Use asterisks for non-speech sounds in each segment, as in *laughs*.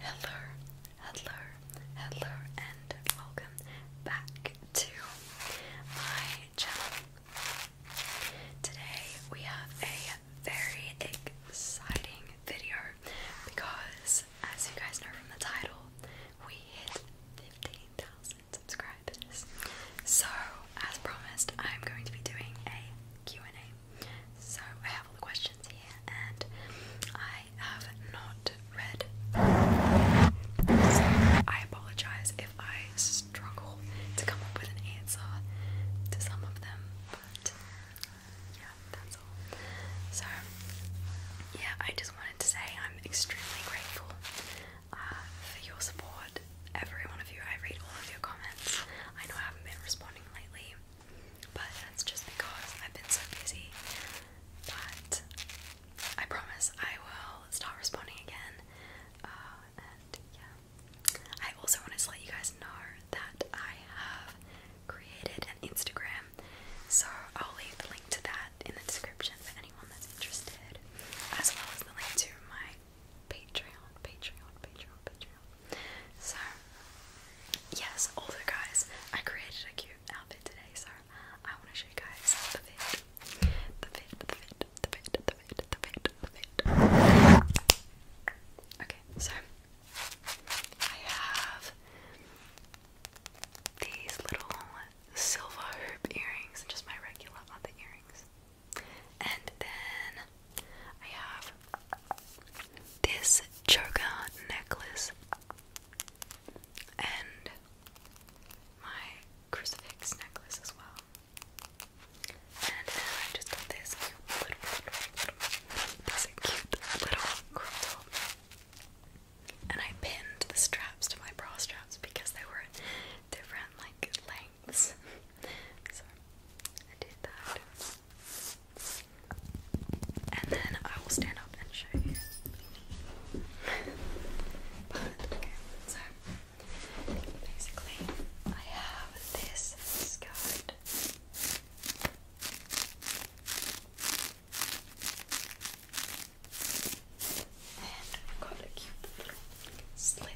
Hello, hello, hello, and welcome back to my channel. Today we have a very exciting video because, as you guys know from the title, we hit 15,000 subscribers. So, as promised, I'm going to be doing a Q&A so I have all the questions here, and I have not read. I apologize if I struggle to come up with an answer to some of them, but yeah, that's all. So yeah, I just wanted to say I'm extremely grateful uh, for your support. Every one of you, I read all of your comments. I know I haven't been responding lately, but that's just because I've been so busy. But I promise I will start responding again. Uh, and yeah. I also wanted to let you guys know that I have created an Instagram. So I'll leave the link to that in the description for anyone that's interested. As well as the link to my Patreon, Patreon, Patreon, Patreon do. So, yes, all the guys, I created a cute outfit today, so I want to show you guys the fit. The fit, the fit, the fit, the fit, the fit, the fit. Okay, so I have these little silver hoop earrings and just my regular other earrings. And then I have this choker necklace and my crucifix necklace as well. And then I just got this cute little, this cute little crop top. And I pinned the straps to my bra straps because they were different like lengths so I did that. And then I will stand up and show you. but so basically I have this skirt. And I've got a cute little slit.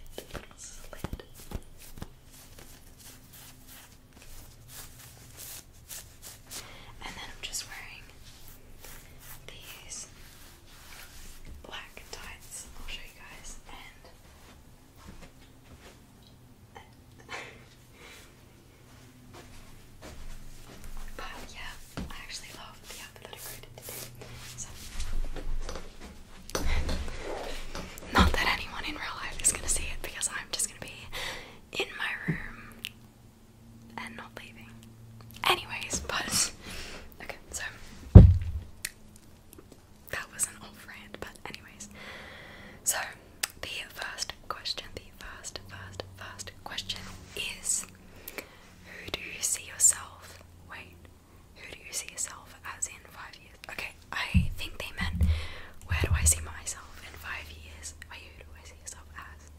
And then I'm just wearing these black tights. I'll show you guys. *laughs* but yeah, I actually love the outfit I created today. So. *laughs* Not that anyone in real life is gonna see it because I'm just gonna be in my room and not leaving. Anyways, but okay, so that was an off rant, but anyways. So the first question, the first, first, first question is who do you see yourself? Wait, who do you see yourself as in five years? Okay, I think they meant where do I see myself in five years? who do I see yourself as?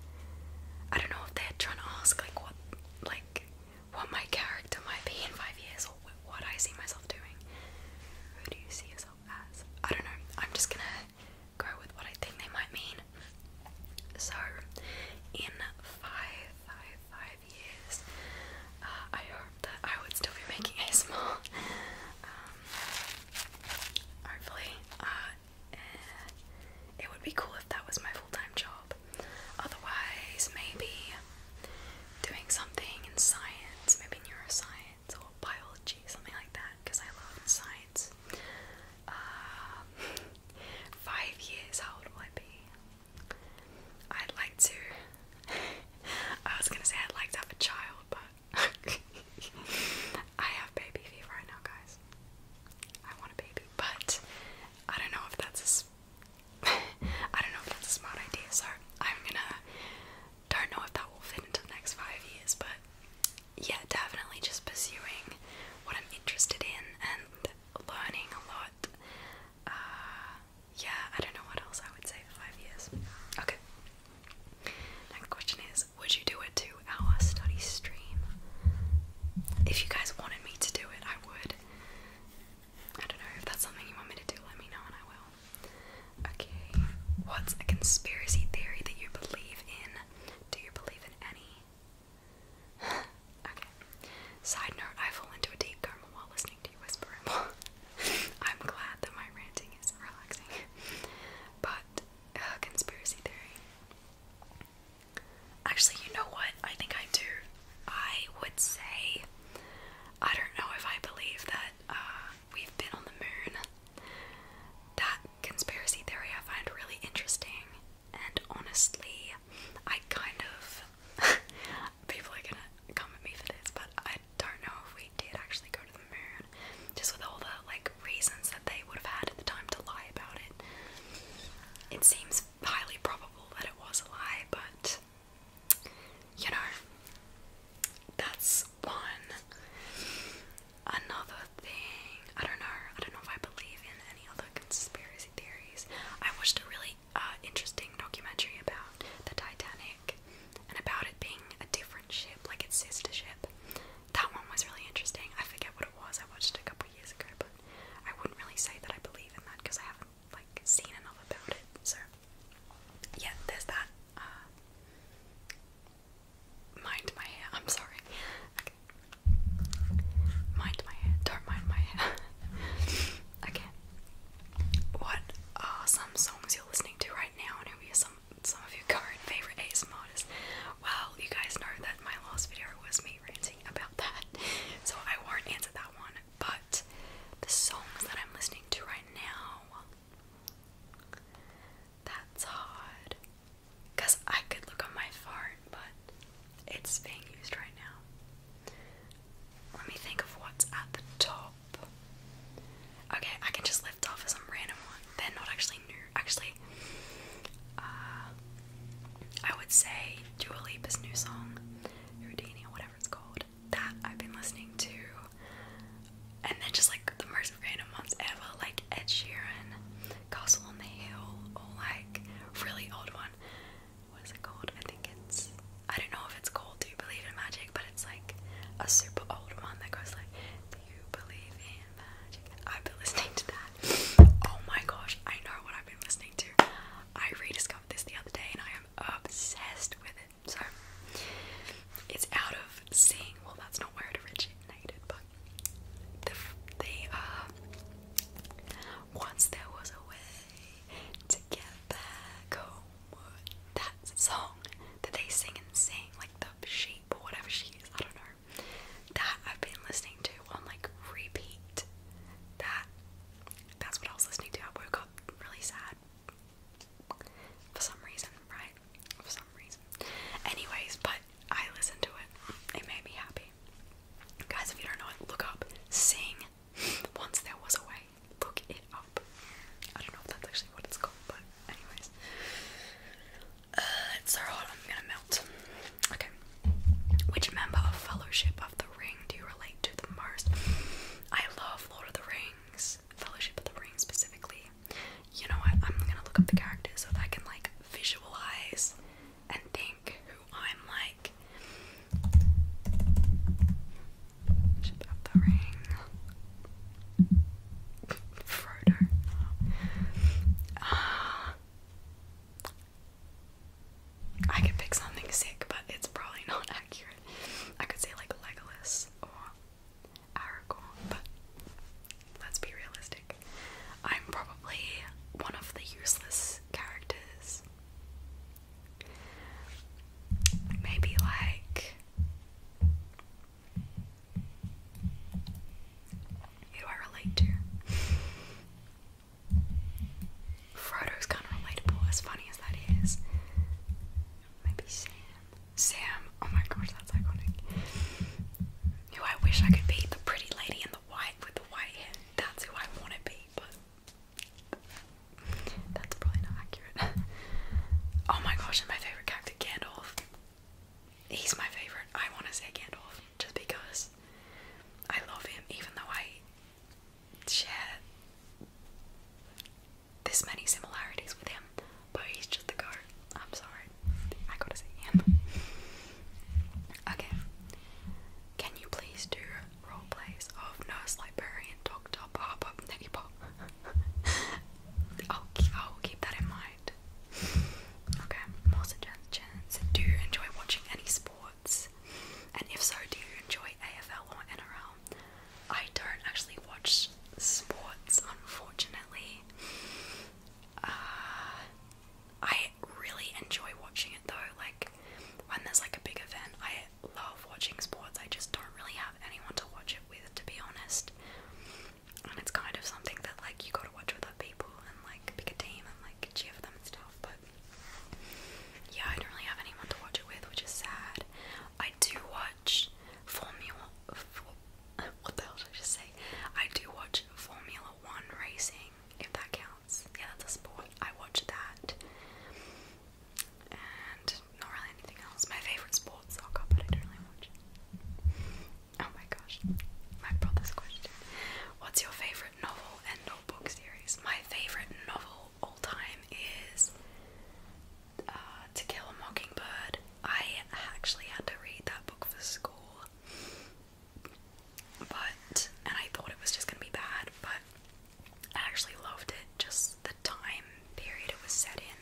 I don't know if they're trying to ask like what like what my character might be in five years or what I see myself doing. Who do you see yourself as? I don't know. I'm just gonna go with what I think they might mean. So, in five, five, five years, uh, I hope that I would still be making ASMR. Um, Hopefully, uh, it would be cool if that was my full time job. Otherwise, maybe doing something in science, maybe neuroscience or biology, something like that, because I love science. Uh, five years, how old will I be? I'd like to. *laughs* I was gonna say I'd like to have a child, but *laughs* I have baby fever right now, guys. I want a baby, but I don't know if that's a *laughs* I don't know if that's a smart idea, so I'm gonna don't know if that will fit into the next five years, but yeah, definitely just pursuing what I'm interested in and learning a lot. Uh, yeah, I don't know what else I would say five years. Okay, Next question is Would you do it to our study stream? If you guys wanted me to do it, I would. I don't know if that's something you want me to do, let me know and I will. Okay, what's a conspiracy theory that you believe in? Do you believe in any? *laughs* okay. Side note, I fall into a deep coma while listening to you whisper I'm glad that my ranting is relaxing. *laughs* but uh, conspiracy theory. Actually, you know what? I think I do. I would say I don't know if I believe that uh, we've been on the moon. That conspiracy theory I find really interesting, and honestly, I kind of *laughs* people are gonna come at me for this, but I I don't know if we did actually go to the moon, just with all the like reasons that they would have had at the time to lie about it. It seems highly probable that it was a lie, but you know, that's one. Another thing, I don't know, I don't know if I believe in any other conspiracy theories. I watched a really uh, interesting documentary about the Titanic and about it being a different ship, like its sister ship. That one was really interesting. I forget what it was. I watched it a couple years ago, but I wouldn't really say that I believe in that because I haven't like seen enough about it. So yeah, there's that. Uh, mind my hair. I'm sorry. Mind my hair. Don't mind my hair. *laughs* okay. What are some songs you're listening to right now and who are your some of your current favorite ASM artists. Well, you guys know that my last video was me ranting about that, so I won't answer that one. But the songs that I'm listening to right now, that's hard. Cause I could look on my phone, but it's being used right now. Let me think of what's at the top. Okay, I can just lift off of some random one. They're not actually new. Actually, uh, I would say Dua Lipa's new song, Houdini or whatever it's called, that I've been listening to. And then just like the most random ones ever, like Ed Sheeran, Castle on the Hill, or like really old one. What is it called? I think it's. I don't know if it's called Do You Believe in Magic? but it's like a super old one that goes like, Do you believe in magic? I've been listening to that. Oh my gosh, I know what I've been listening to. I rediscovered this the other day and I am obsessed with it. So it's out of seeing, well, that's not where it originated, but the, the uh, once there was a way to get back home that song that they sing and sing, like the sheep or whatever she is, I don't know. That I've been listening to on like repeat. That that's what I was listening to. I woke up really sad. For some reason, right? For some reason. Anyways, but I listened to it. It made me happy. Guys, if you don't know it, look up. Sing. *laughs* Once there was a way. Look it up. I don't know if that's actually what it's called, but Anyways. Uh, it's so hot, I'm gonna melt. Okay. Which member of Fellowship of the Ring do you relate to the most? I love Lord of the Rings, Fellowship of the Ring specifically. You know I'm gonna look up the characters so that I can like visualize and think who I'm like. Fellowship of the Ring. Frodo. Uh, I could pick something sick, but it's probably not *laughs* accurate. I could say like Legolas or Aragorn, but let's be realistic. I'm probably one of the useless characters. Maybe like who I relate to? Frodo's kind of relatable, as funny as that is. Maybe Sam. Sam, oh my gosh, that's iconic. Who I wish I could be, the pretty lady in the white with the white hair. That's who I want to be, but that's probably not accurate. *laughs* oh my gosh, and my favorite character, Gandalf he's my favorite. I want to say Gandalf just because I love him, even though I share this many similarities with him. But he's just the goat. I'm sorry, I gotta say him. Okay, can you please do role plays of nurse, librarian, doctor, barber, neighbor? i I'll keep that in mind. Okay, more suggestions. Do you enjoy watching any sports? And if so, do you enjoy AFL or NRL? I don't actually watch sports, unfortunately. Uh, I really enjoy watching it though. Like, when there's like a big event, I love watching sports. I just don't really have anyone to watch it with, to be honest and it's kind of something that like you gotta watch with other people and like pick a team and like cheer them and stuff. But yeah, I don't really have anyone to watch it with, which is sad. I do watch Formula. *laughs* what the hell did I just say? I do watch Formula One racing, if that counts. Yeah, that's a sport. I watch that. And not really anything else. My favourite sport's soccer, but I don't really watch it. Oh my gosh, my brother's question. What's your favorite novel and or book series? My favorite novel all time is uh, To Kill a Mockingbird. I actually had to read that book for school, but and I thought it was just gonna be bad, but I actually loved it. Just the time period it was set in,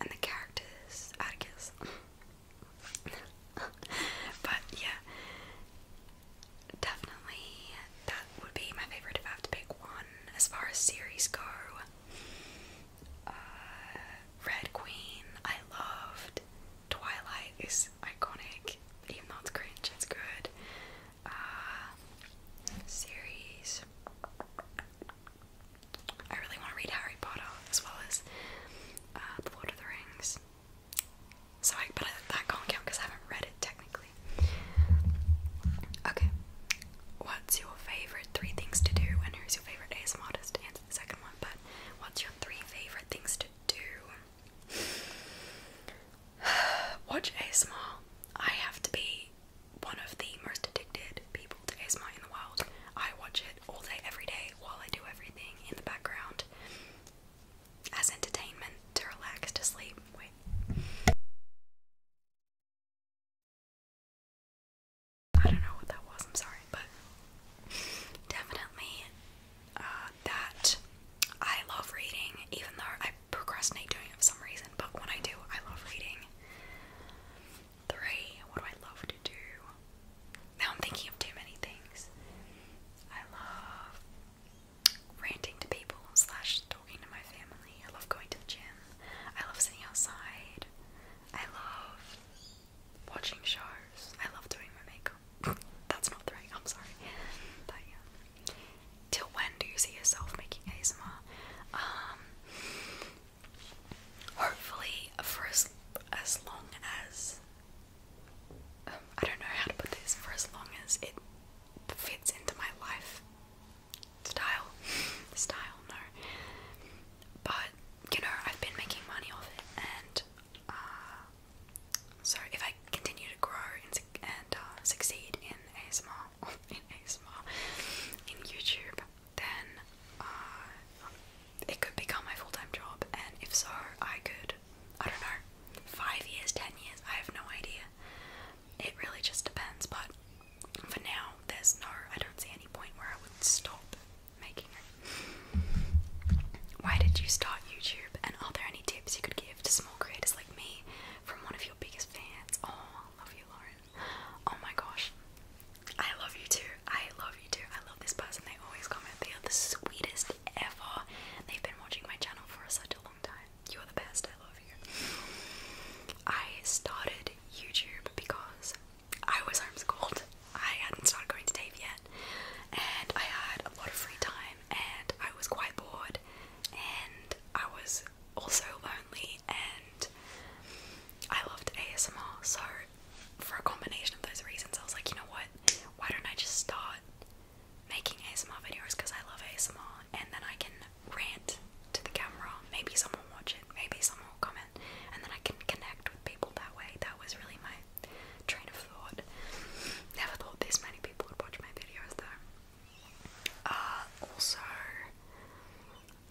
and the characters. Atticus. *laughs* but yeah, definitely that would be my favorite if I have to pick one. As far as series go, uh, Red Queen, I loved. Twilight is iconic, even though it's cringe, it's good. Uh, series. I really want to read Harry Potter as well as uh, The Lord of the Rings. So, but that can't count because I haven't read it technically. Okay, what's your favorite three things to do, and who's your favorite ASMR artist? To answer the second one, but what's your three favorite things to do? *sighs* Watch ASMR. I have to be one of the most addicted people people to in the wild. I watch it all day, every day, while I do everything in the background as entertainment, to relax, to sleep. Wait. I don't know what that was, I'm sorry, but definitely uh, that I love reading, even though I procrastinate doing it for some reason, but when I do, I love reading. Three, what do I love to do? Now I'm thinking of too many things. I love ranting to people slash talking to my family. I love going to the gym. I love sitting outside. I love watching shows. I love doing my makeup. *laughs* That's not three, I'm sorry. Till when do you see yourself making ASMR? Um, Hopefully, for as, as long as um, I don't know how to put this, for as long as it fits into my life style, *laughs* no. But you know, I've been making money off it, and uh, so if I continue to grow and, uh, succeed in ASMR, *laughs* in ASMR, in YouTube then uh, it could become my full time job. And if so, I could, I don't know, five years, ten years, I have no idea. It really just depends. But for now, there's no, I don't see any point where I would stop making it. Why did you start YouTube? And are there any tips you could give to small creators like me from one of your biggest fans? Oh, I love you, Lauren. Oh my gosh. I love you too. I love you too. I love this person. They always comment. They are the sweetest ever. They've been watching my channel for such a long time. You're the best. I love you. I started YouTube because I was homeschooled. I hadn't started going to Dave yet. And I had a lot of free time and I was quite bored and I was also lonely and I loved ASMR so for a combination of those reasons, I was like, you know what? Why don't I just start making ASMR videos because I love ASMR and then I can rant to the camera. Maybe someone will watch it, maybe someone will comment, and then I can connect with people that way. That was really my train of thought. Never thought this many people would watch my videos though. Uh, also,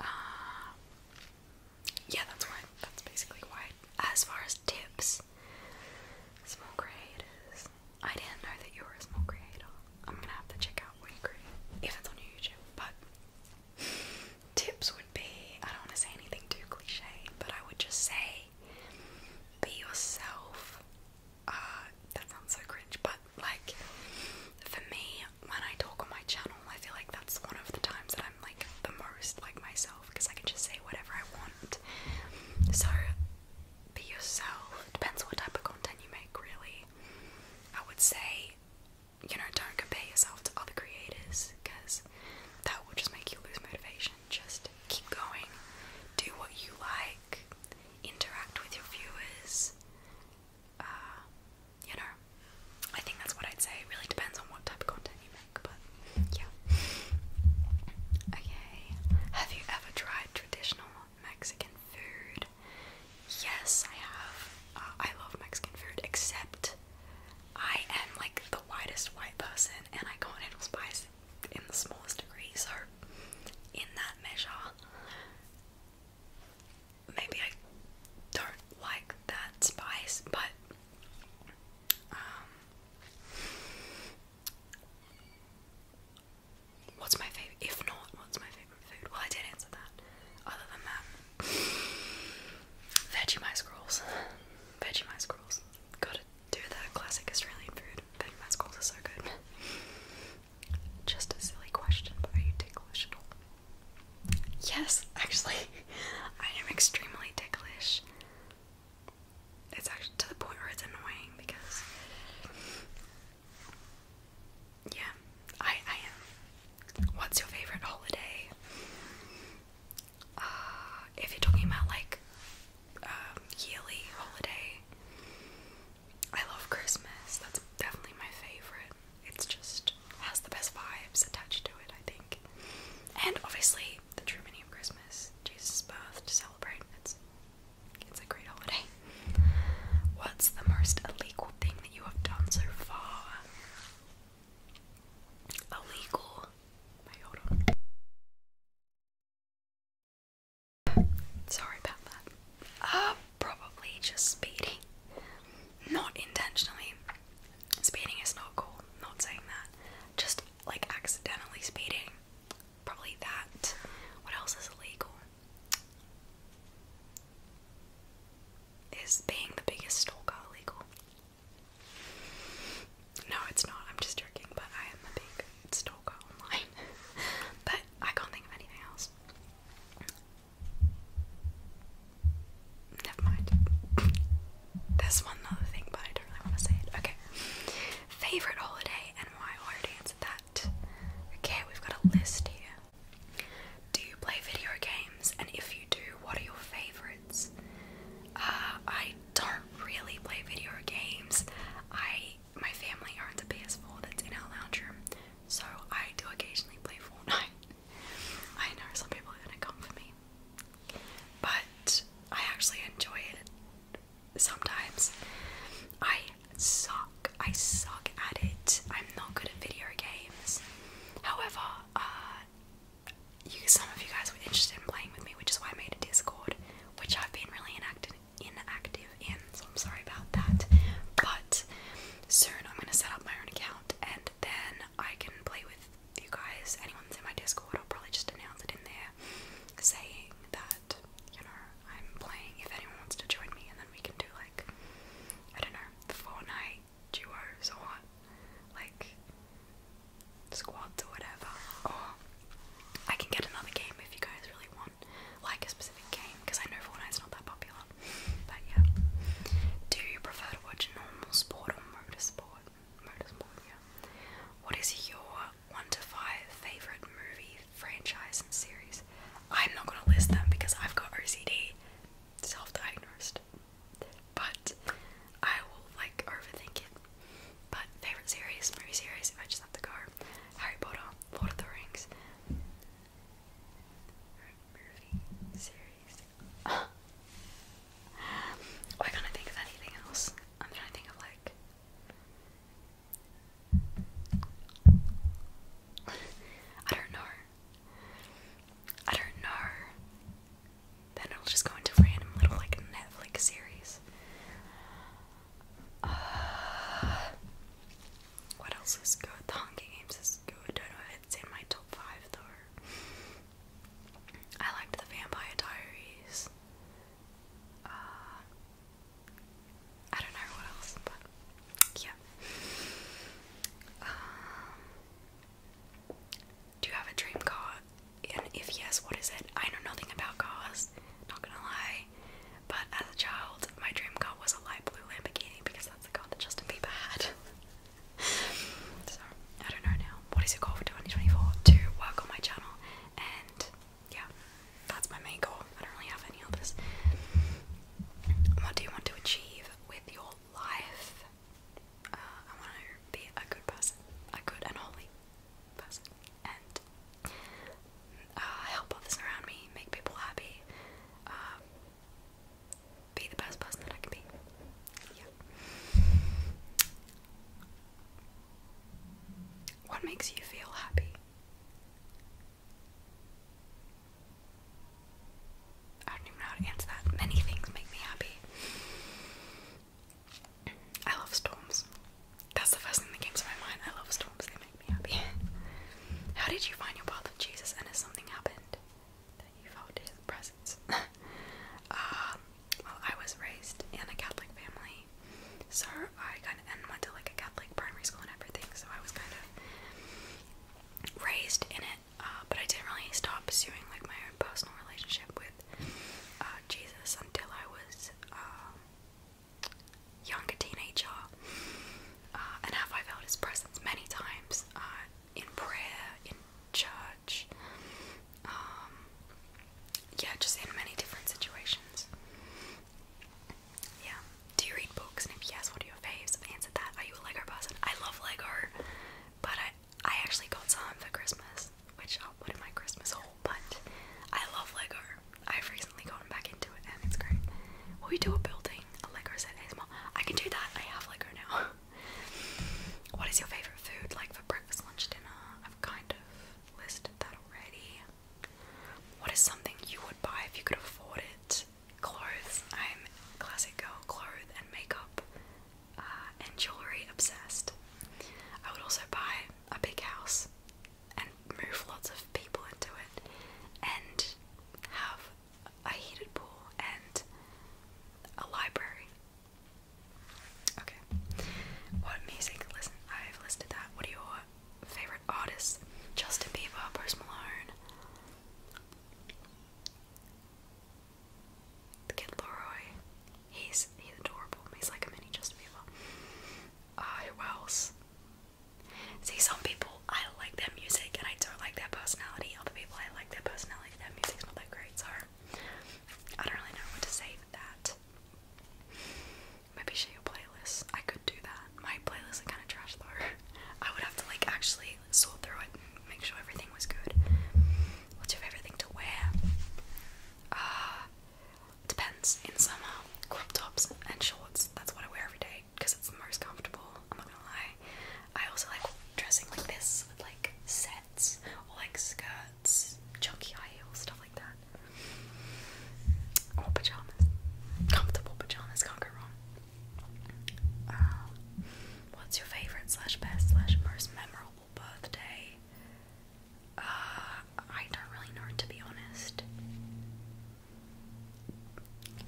uh, yeah, that's why. That's basically why. As far as tips, small creators. I didn't know that you were a small creator. I'm gonna have to check out what you create if it's on YouTube. But tips would be I don't want to say anything too cliche, but I would just say be yourself. Uh, that sounds so cringe, but like for me, when I talk on my channel, I feel like that's one of the times that I'm like the most like myself because I can just say whatever I want. So be yourself. Depends what type of content you make, really. I would say, you know, don't compare yourself to other creators because that will just make you lose motivation. Just keep going, do what you like, interact with your viewers. Uh, you know, I think that's what I'd say. really depends on what type of content you make. Okay. Have you ever tried traditional Mexican food? Yes, I have. Uh, I love Mexican food, except I am like the whitest white person and I can't handle spice in the smallest degree, so in that measure, maybe I don't like that spice, but um, what's my favorite? If not, what's my favorite food? Well, I did answer that. Other than that, Vegemite scrolls. Vegemite scrolls. Gotta do the classic Australian food. Vegemite scrolls are so good. Just a silly question, but are you ticklish at all? Yes, actually, *laughs* I am extremely ticklish. It's actually to the point where it's annoying because yeah, I I am. What's your favorite holiday? Uh, if you're talking about like um, yearly holiday, I love Christmas. That's definitely my favorite. It's just has the best vibes attached to it, I think. And obviously, the true meaning of Christmas, Jesus' birth to celebrate. It's it's a great holiday. What's the most illegal thing that you have done so far? Illegal. Sorry about that. Uh, probably just speeding. Not intentionally. Speeding is not cool, not saying that. Just like accidentally speeding. Probably that. What else is illegal? Is being the biggest stalker illegal? No, it's not. I'm just joking, but I am a big stalker online. *laughs* but I can't think of anything else. Never mind. There's one other thing, but I don't really want to say it. Okay. Favorite holiday and why? I already answered that. Okay, we've got a list here. Do you play video games? And if you do, what are your favorites? Uh, I don't really play video games. I my family owns a PS4 that's in our lounge room, so I do occasionally play Fortnite. *laughs* I know some people are gonna come for me, but I actually enjoy it sometimes. I suck. I suck at it. I'm not good at video games. However, uh, some of you guys were interested in playing with me, which is why I made a Discord, which I've been really inactive in, so I'm sorry about that. But soon I'm going to set up my own account and then I can play with you guys, anyone in my Discord, I'll probably just announce it in there, saying that you know I'm playing. If anyone wants to join me, and then we can do like I don't know, Fortnite duos or like squads or whatever. Or I can get another game if you guys really want, like a specific game, because I know Fortnite's not that popular. But yeah, do you prefer to watch normal sport or motorsport? What is your one to five favorite movie franchise and series? I'm not gonna list them because I've got OCD, self-diagnosed, but I will like overthink it. But favorite series, movie series, if I just have to go, Harry Potter, Lord of the Rings, why can't I think of anything else? I'm trying to think of like I don't know. I don't know. Then it'll just go into random little like Netflix series. Uh, what else is good? The Hunger Games is good. I don't know if it's in my top five though. I liked the Vampire Diaries. Uh, I don't know what else, but yeah. Um, do you have a dream car? And if yes, what is it? I know nothing about cars, not gonna lie. But as a child, my dream car was a light blue Lamborghini because that's the car that Justin Bieber had. *laughs* so I don't know now, what is it called for 2024 to work on my channel. And yeah, that's my main goal. I don't really have any others. What do you want to achieve with your life? Uh, I want to be a good person, a good and holy person, and uh, help others around me, make people happy, um, be the best person that I can be. Yeah. What makes you feel happy? I don't even know how to answer that. Many things make me happy. I love storms. That's the first thing that came to my mind. I love storms, they make me happy. *laughs* how did you find your path of Jesus and has something happened that you felt his presence? um *laughs* well, I was raised in a Catholic family, so I kind of and went to like a Catholic primary school and everything, so I was kind of raised in it. Uh, but I didn't really stop pursuing like my own personal relationship with uh, Jesus until I was um, younger teenager, uh, and have I felt His presence many times uh, in prayer, in church um, yeah, just in many different situations. Yeah. Do you read books? And if yes, what are your faves? I've answered that. Are you a Lego person? I love Lego, but I I actually got some for Christmas, which I'll put in my Christmas haul. But I love Lego. I've recently gotten back into it, and it's great. Will we do a building? A Lego set ASMR? I can do that. I have Lego now. *laughs* what is your favorite food, like for breakfast, lunch, dinner? I've kind of listed that already. What is something you would buy if you could afford it? Clothes. I'm classic girl, clothes and makeup uh, and jewelry obsessed. I would also buy a big house and move lots of people into it and have a heated pool and a library Okay. What music? Listen, I've listed that. What are your favorite artists? Justin Bieber, Bruce Malone, Kid Leroy. He's he's adorable. He's like a mini Justin Bieber. Uh, who else? See, some people I like their music and I don't like their personality. Other people I like their personality. Their music's not that great, so I don't really know what to say that. Maybe share your playlist. I could do that. My playlists are kind of trash though. *laughs* I would have to like actually sort through it and make sure everything was good. What's your favorite thing to wear? Uh, depends. In summer, crop tops and shorts. That's what I wear every day because it's the most comfortable. I'm not gonna lie. I also like dressing like this with like sets or like skirts skirts, chunky high heels, stuff like that. Or pajamas. Comfortable pajamas, can't go wrong. Um, what's your favorite slash best slash most memorable birthday? Uh, I don't really know to be honest.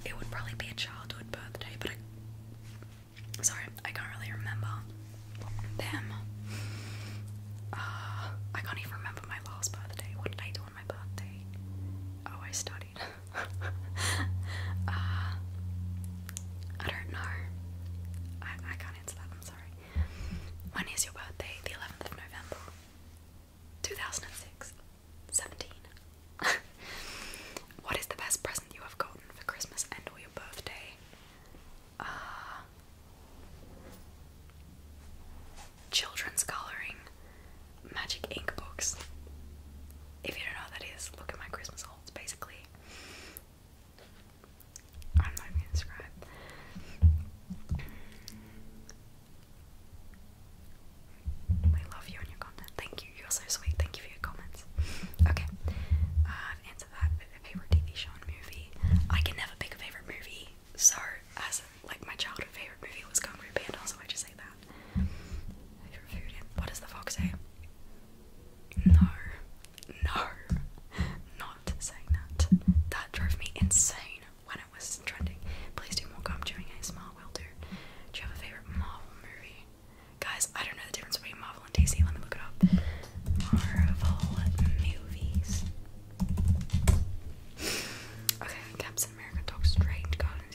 It would probably be a childhood birthday, but Sorry, I can't really remember them. Ah, I can't even remember my last birthday. What did I do on my birthday? Oh, I studied. *laughs* Ah, I don't know. I, I can't answer that, I'm sorry. When is your birthday? The 11th of November. 2006. 17. *laughs* what is the best present you have gotten for Christmas and or your birthday? *sighs* children's coloring magic ink books. If you don't know what that is, look at my Christmas holds basically. I'm not gonna describe. We love you and your content. Thank you. You're so sweet. Thank you for your comments. Okay. Uh, favorite TV show and movie. I can never pick a favorite movie, so as like my childhood favorite movie was Kung Fu Panda, so I just say that. What does the fox say? No, no, not saying that. That drove me insane when it was trending. Please do more gum chewing ASMR, will do. Do you have a favorite Marvel movie? Guys, I don't know the difference between Marvel and DC. Let me look it up. Marvel movies. Okay, Captain America Doctor Strange, Guardians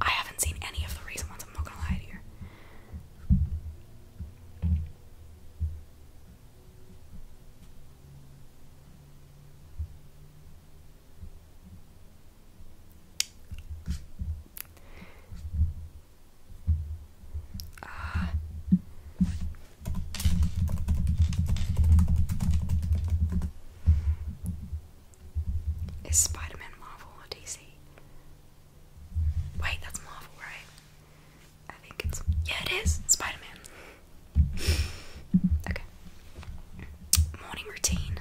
I haven't seen any of the recent ones, I'm not gonna lie to you. Is Spider Marvel or DC? Wait, that's Marvel, right? I think it's. Yeah, it is! Spider okay. Morning routine.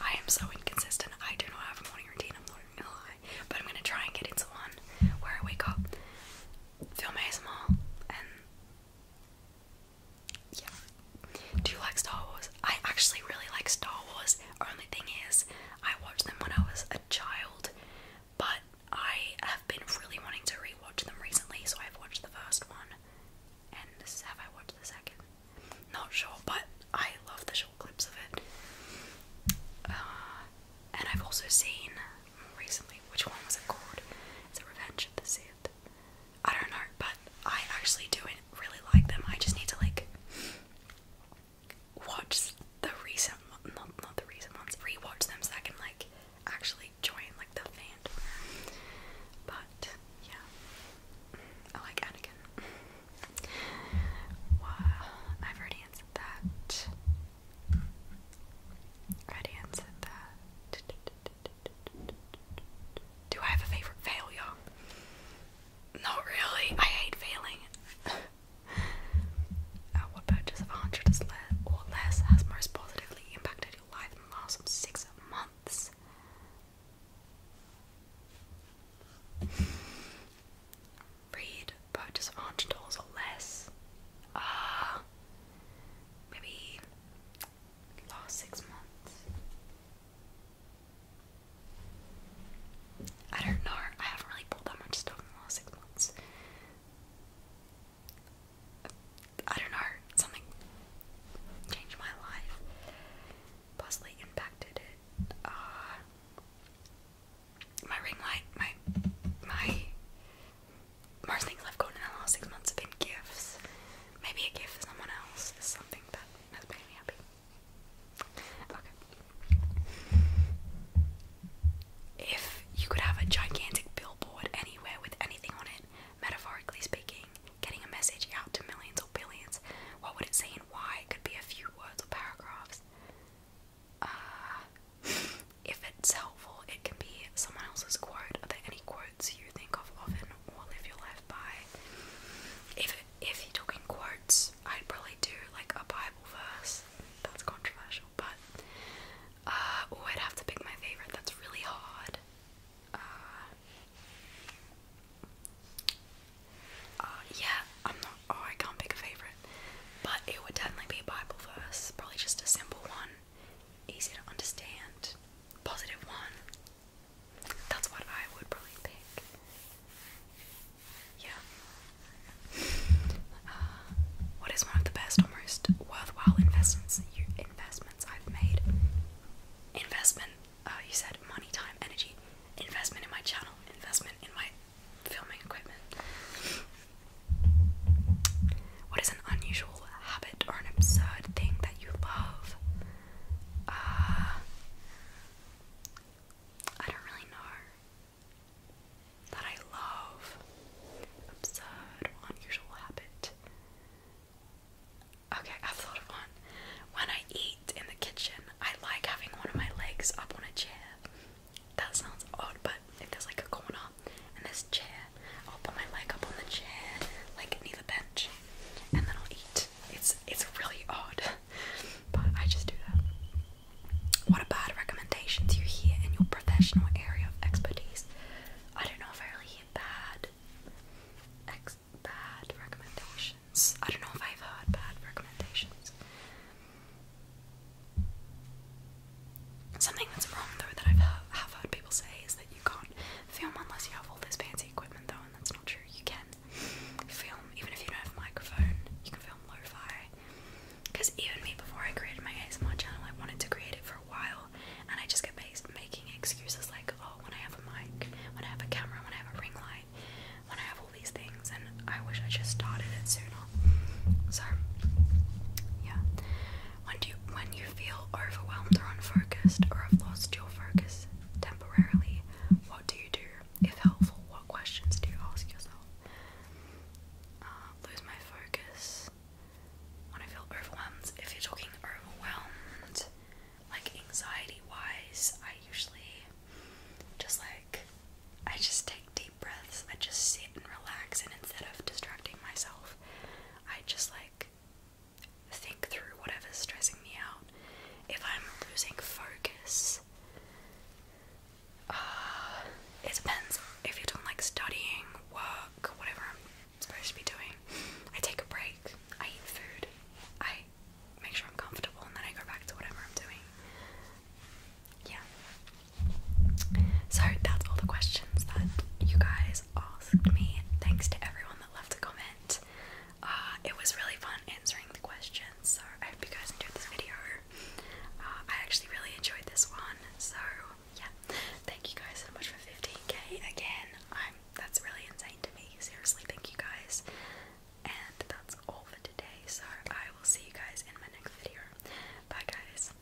I am so inconsistent. I do not have a morning routine, I'm not gonna lie. But I'm gonna try and get into one where I wake up film ASMR and yeah. Do you like Star Wars? I actually really like Star Wars. Only thing is, I watched them when I was a child, but I have been really wanting to rewatch them recently, so I've watched the first one. And this, have I watched the second? Not sure, but I love the short clips of it. Uh, and I've also seen recently. Which one was it called? It's a Revenge of the Sith. I don't know, but I actually do really like them. I just need to like watch the recent, not not the recent ones, rewatch them so I can like actually join like the fandom. But yeah, I like Anakin. Wow, I've already answered that i answer that. Do I have a favorite failure? Not really. I hate failing. *laughs* Uh, what purchase of 100 or less has most positively impacted your life in the last six months? Read purchase $100 or less. Ah, maybe last six months. I don't know. I haven't really bought that much stuff in the last six months. I don't know. Something changed my life. Possibly impacted it. Uh, my ring light, my my most things I've gotten in the last six months have been gifts. Maybe a gift for someone else something that has made me happy. Okay. If you could have a gigantic billboard anywhere with anything on it, metaphorically speaking, getting a message out to millions or billions, what would it say and why? It could be a few words or paragraphs. Uh, if it's helpful, it can be someone else's quote. Are there any quotes you think of often or live your life by? If if you're talking quotes, I'd probably do like a Bible verse. That's controversial, but uh, I'd have to pick my favorite. That's really hard. Uh, uh, yeah, I'm not. Oh, I can't pick a favorite, but it would definitely be a Bible verse. Probably just a simple one easy to understand, positive one. That's what I would probably pick. Yeah. Uh, what is one of the best, almost worthwhile investments you investments I've made? Investment. Uh, you said money, time, energy. Investment in my channel. Investment in my filming equipment. What is an unusual habit or an absurd thing that you love? Uh, I don't really know. That I love. Absurd unusual habit. Okay, I've thought of one. When I eat in the kitchen, I like having one of my legs up on a chair. That sounds odd, but if there's like a corner and there's a chair I'll put my leg up on the chair, like near the bench, and then I'll eat. It's it's really odd, but I just do that. What about recommendations you hear in your professional area of expertise? I don't know if I really hear bad ex bad recommendations. I don't know if I've heard bad recommendations. Something that's wrong though that I've heard, have heard people say is that you can't film unless you have all this fancy equipment though, and that's not true. You can film even if you don't have a microphone. You can film lo-fi. Because even me, before I created my ASMR channel, I wanted to create it for a while, and I just kept making excuses like, oh, when I have a mic, when I have a camera, when I have a ring light, when I have all these things, and I wish I just started it sooner. So, yeah. When you when you feel overwhelmed or unfocused or have lost your focus temporarily, what do you do? If helpful, what questions do you ask yourself? Uh, lose my focus. When I feel overwhelmed, if you're talking overwhelmed, like anxiety-wise, I usually just like I just take deep breaths. I just sit and relax, and instead of distracting myself I just like think through whatever's stressing me out. If I'm losing focus, uh, it depends. If you're doing like studying, work, whatever I'm supposed to be doing, I take a break, I eat food, I make sure I'm comfortable, and then I go back to whatever I'm doing. Yeah. So that's all the questions that you guys asked me. Thanks to everyone that left a comment. Uh, it was really fun answering the questions, so I hope you guys enjoyed this video. Uh, I actually really enjoyed this one, so yeah. Thank you guys so much for 15k again. that's really insane to me. Seriously, thank you guys. And that's all for today. So I will see you guys in my next video. Bye guys.